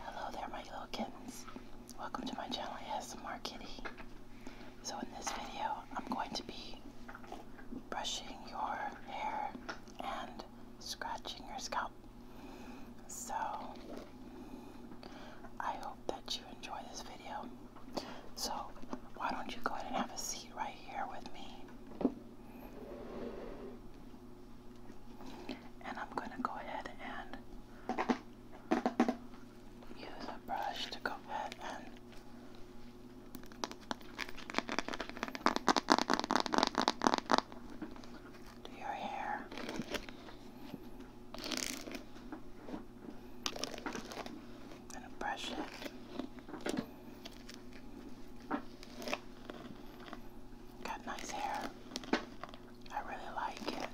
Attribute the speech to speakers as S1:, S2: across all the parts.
S1: Hello there my little kittens. Welcome to my channel ASMR Kitty. So in this video I'm going to be brushing your hair and scratching your scalp. So I hope that you enjoy this video. So why don't you go ahead and have a seat right here with me. And I'm going to go ahead and use a brush to go ahead and do your hair. i going to brush it. Got nice hair. I really like it.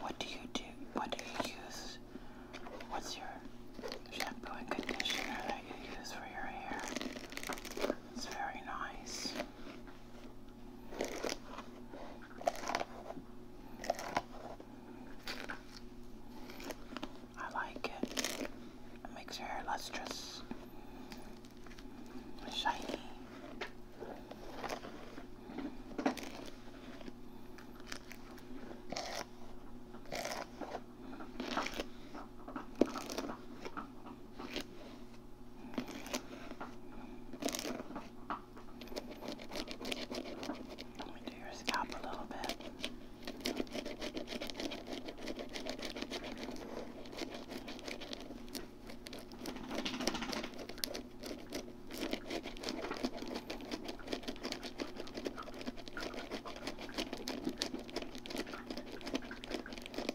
S1: What do you do? What do you use? What's your shampoo and conditioner that you use for your hair? It's very nice. I like it. It makes your hair lustrous, shiny. Let me do your scalp a little bit.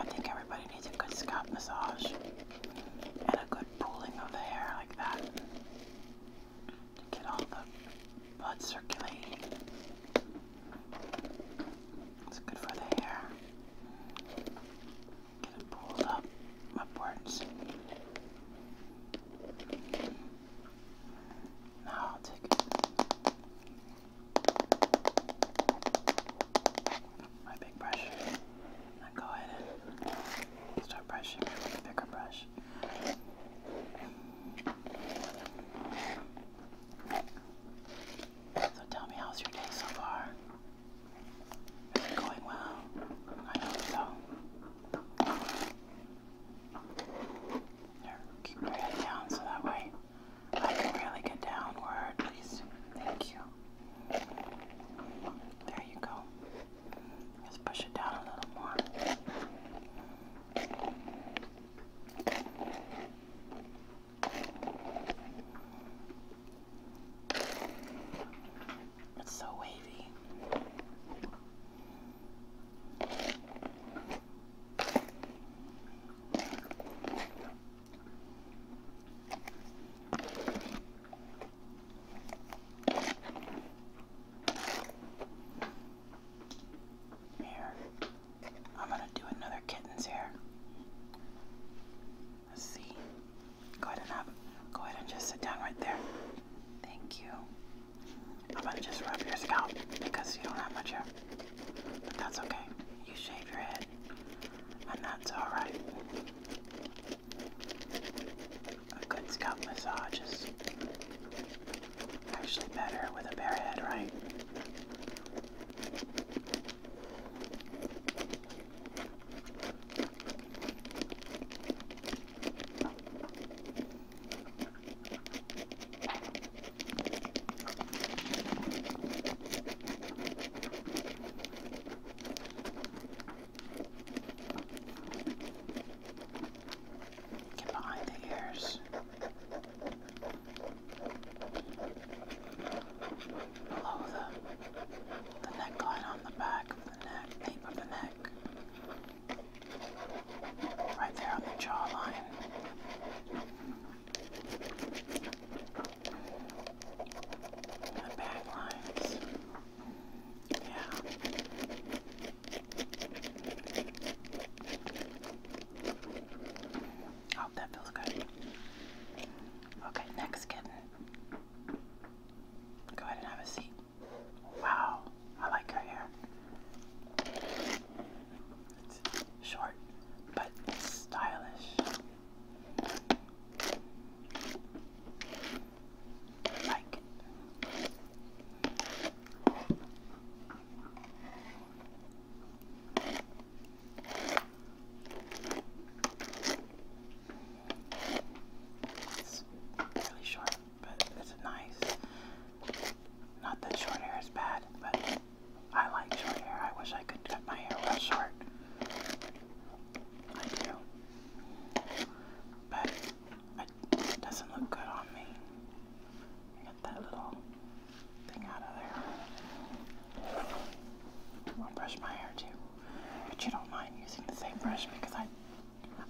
S1: I think everybody needs a good scalp massage and a good pulling of the hair like that get all the blood circulating. It's good for the hair. Get it pulled up upwards. No, I'll take My big brush. go ahead start brushing bigger brush. So tell me, how's your day so far? going well? I hope so keep my head down so that way I can really get downward, please. Thank you. There you go. Just push it down a little more. It's so wavy. Here, I'm going to do another kittens here. Let's see. Go ahead and have, go ahead and just sit down right there. Thank you. I'm gonna just rub your scalp because you don't have much hair. But that's okay. You shave your head, and that's alright. A good scalp massage is actually better with a bare head, right? Get behind the ears. Below the, the neckline on the back of the neck, of the neck. Right there on the jawline. The back lines. Yeah. Oh, that feels good. Okay, next kitten. Go ahead and have a seat. Wow, I like her hair. It's short, but stylish. like It's really short but it's nice. Not that short hair is bad, but I like short hair. I wish I could cut my hair real short. I do. But it doesn't look good on me. Get that little thing out of there. I'll brush my hair too. But you don't mind using the same brush because I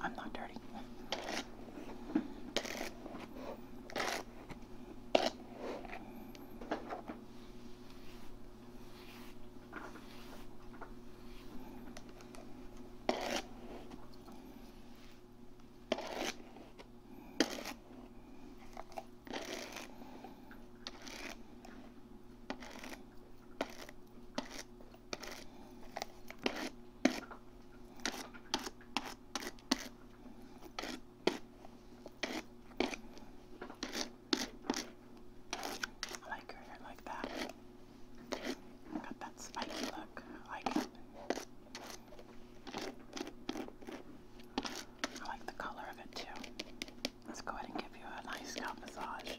S1: I'm not dirty. I like her hair like that. Got that spiky look. I like it. I like the color of it too. Let's go ahead and give you a nice scalp massage.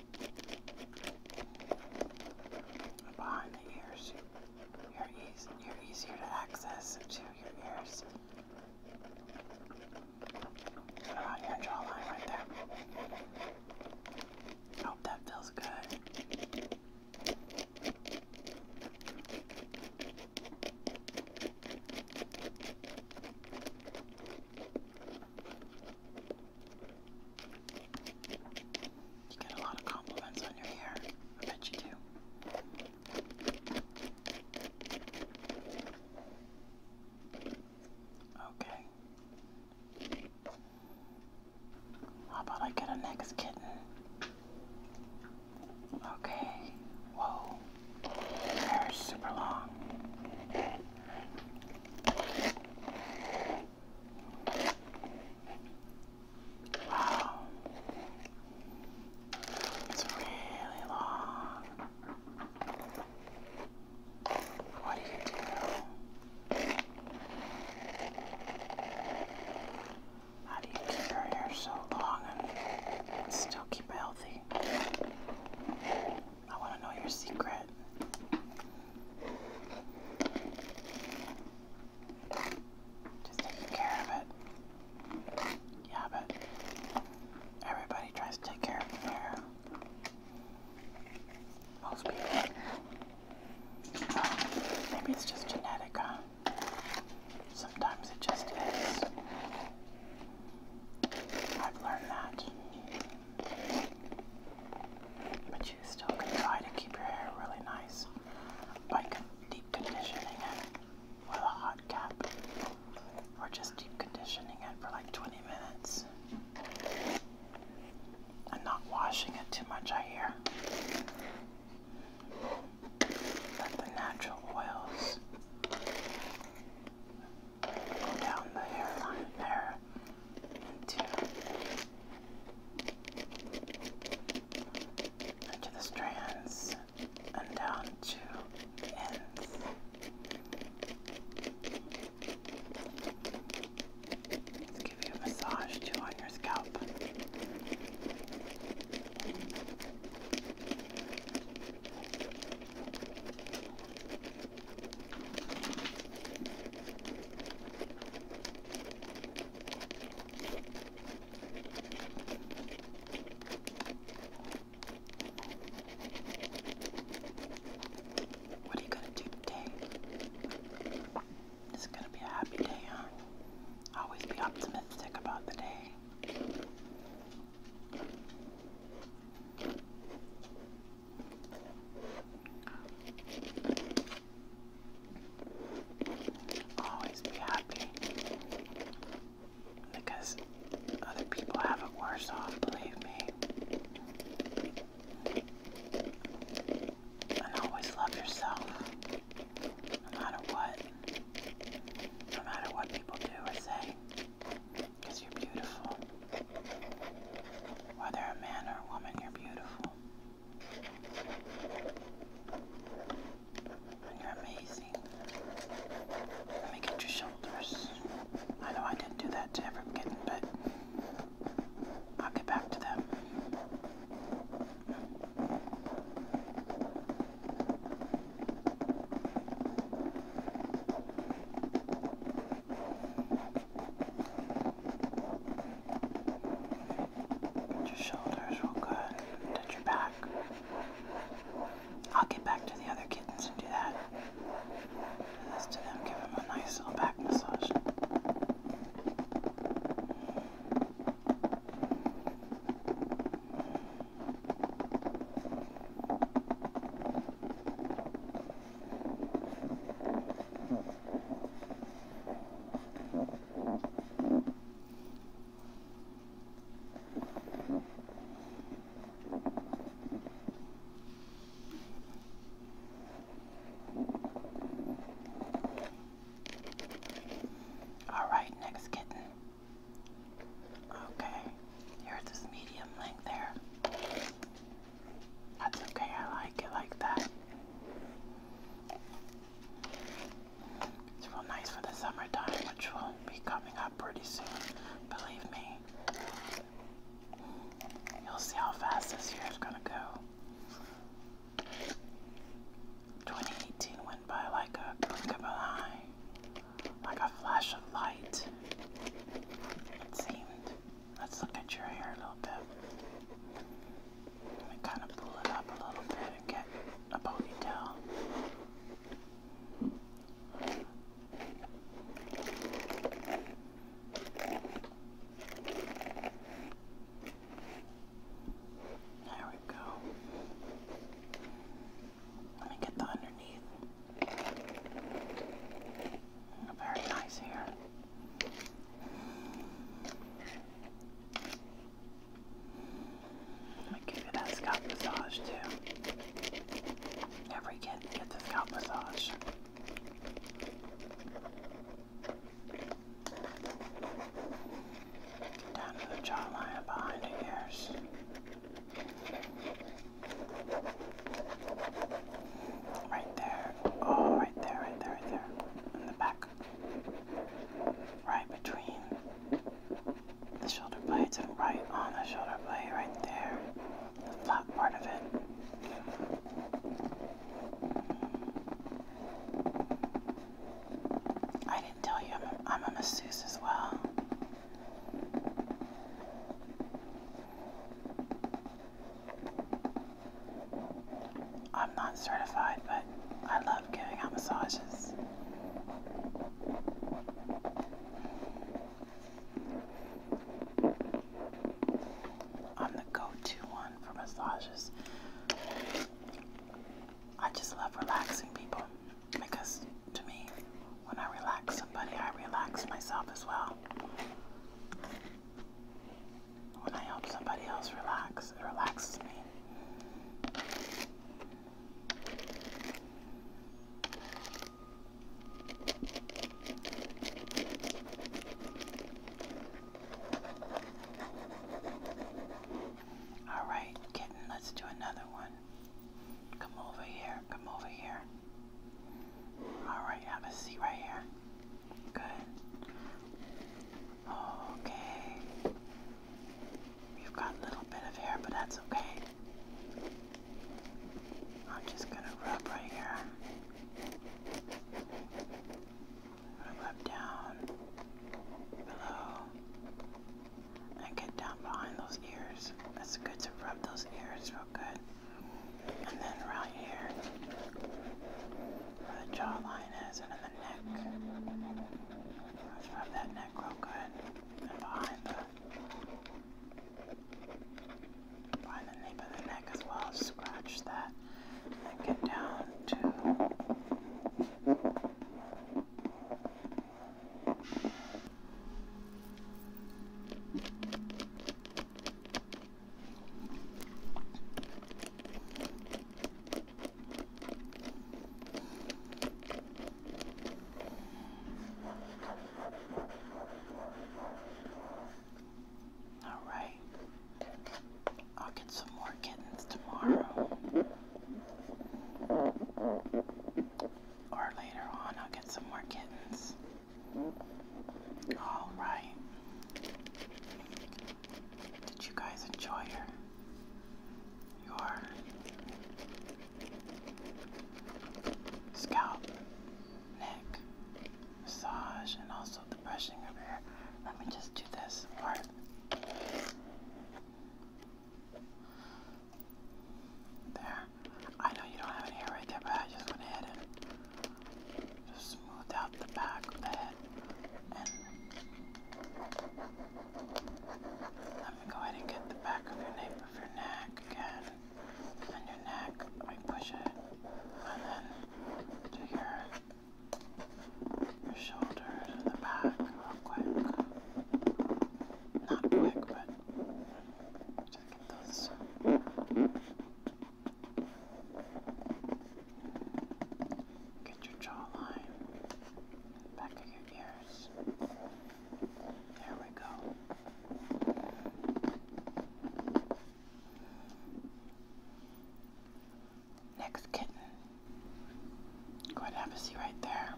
S1: Behind the ears, you're, eas you're easier to access to your ears. Around ah, your jawline right there. Hope that feels good. You get a lot of compliments on your hair. I bet you do. Okay. How about I get a next kitten? Okay. Whoa. hair is super long. Wow. It's really long. What do you do? How do you keep your hair so long and still keep it healthy? I want to know your secret. Just taking care of it. Yeah, but everybody tries to take care of their most people. Um, maybe it's just genetic, Sometimes it just is. I've learned that. But you still can try to keep your hair really nice by deep conditioning it with a hot cap or just deep conditioning it for like 20 minutes and not washing it too much, I hear. Let the natural oils down the hairline there into, into the strands and down to the ends. Let's give you a massage too on your scalp. What are you gonna do today? It's gonna be a happy day, huh? Always be optimistic about the day. Always be happy because other people have it worse off, believe me. And always love yourself, no matter what, no matter what people do or say, because you're beautiful. Whether a man or a woman, you're beautiful. you're amazing. Let me get your shoulders. I know I didn't do that to every kitten, but I'll get back to them. Get your shoulders real good. Touch your back. I'll get back to the other kittens and do that. Do this to them. Give them a nice little back massage. All right, next kitten. Okay, here's this medium length there. That's okay, I like it like that. It's real nice for the summertime, which will be coming up pretty soon, believe me. You'll see how fast this year is gonna go. 2018 went by like a blink of an eye, like a flash of light. It seemed. Let's look at your hair a little bit. Let me kind of pull it up a little bit and get a ponytail. There we go. Let me get the underneath. Very nice here. I give you that scalp massage too. Every kid gets a scalp massage. Down to the jawline behind the ears. Right there. Oh, right there, right there, right there. In the back. Right between the shoulder blades and right on the shoulder blade, right there. The flat part of it. I didn't tell you I'm a masseuse as well. I'm not certified, but I love giving out massages. I'm the go to one for massages. I just love relaxing people because to me, when I relax somebody, I relax myself as well. When I help somebody else relax, it relaxes me. All right, kitten, let's do another one. Come over here, come over here. Alright, have a seat right here. Good. Okay. You've got a little bit of hair, but that's okay. I'm just gonna rub right here. rub down below and get down behind those ears. That's good to rub those ears real good. And then right here, where the jawline is, and in the neck. Let's rub that neck real good. And behind the, behind the nape of the neck as well. Scratch that. get down to all right. I'll get some more kittens tomorrow. Or later on, I'll get some more kittens. All right. Did you guys enjoy your scalp, neck massage, and also the brushing of your hair? Let me just do this part. There. I know you don't have any hair right there, but I just went ahead and just smoothed out the back of the head. And let me go ahead and get the back of your nape of your neck again. And your neck, I push it. And then to your your shoulders and the back real quick. Not quick, but thoughts. Get your jawline back of your ears. There we go. Next kitten. Go ahead and have a seat right there.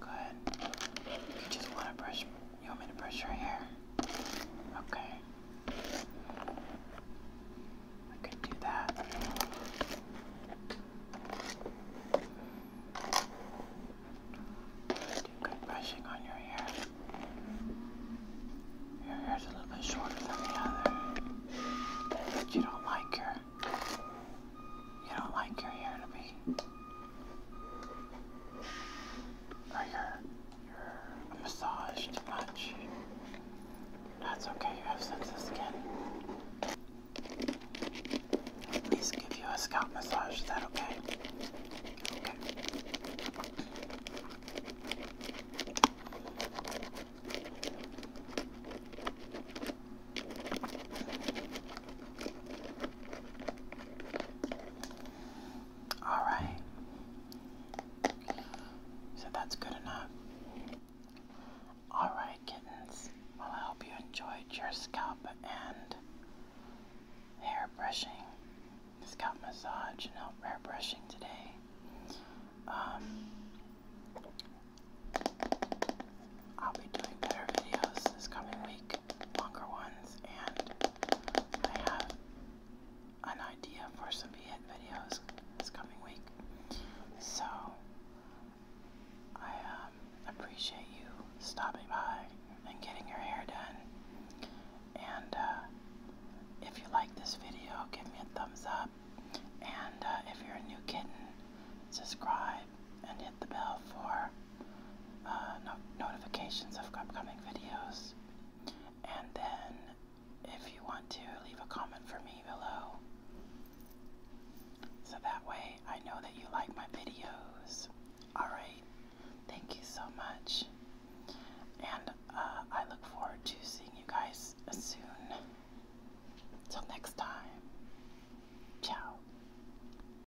S1: Good. You just want to brush you want me to brush your hair? Okay. I could do that. Do good brushing on your hair. Your hair's a little bit shorter than the other. you don't like your you don't like your hair to be Oh, you're, you're massaged much. That's okay, you have sensitive skin. At least give you a scalp massage, is that okay? Okay. All right. So that's good enough. All right, kittens. Well, I hope you enjoyed your scalp and hair brushing, scalp massage, and hair brushing today. Um, I'll be doing better videos this coming week longer ones, and I have an idea for some Viet videos this coming week. So, I um, appreciate you stopping by and getting your hair done. And uh, if you like this video, give me a thumbs up. And uh, if you're a new kitten, subscribe and hit the bell for uh, notifications of upcoming videos. And then, if you want to, leave a comment for me below. So that way I know that you like my videos. Alright, thank you so much. And uh, I look forward to seeing you guys soon. Till next time, ciao.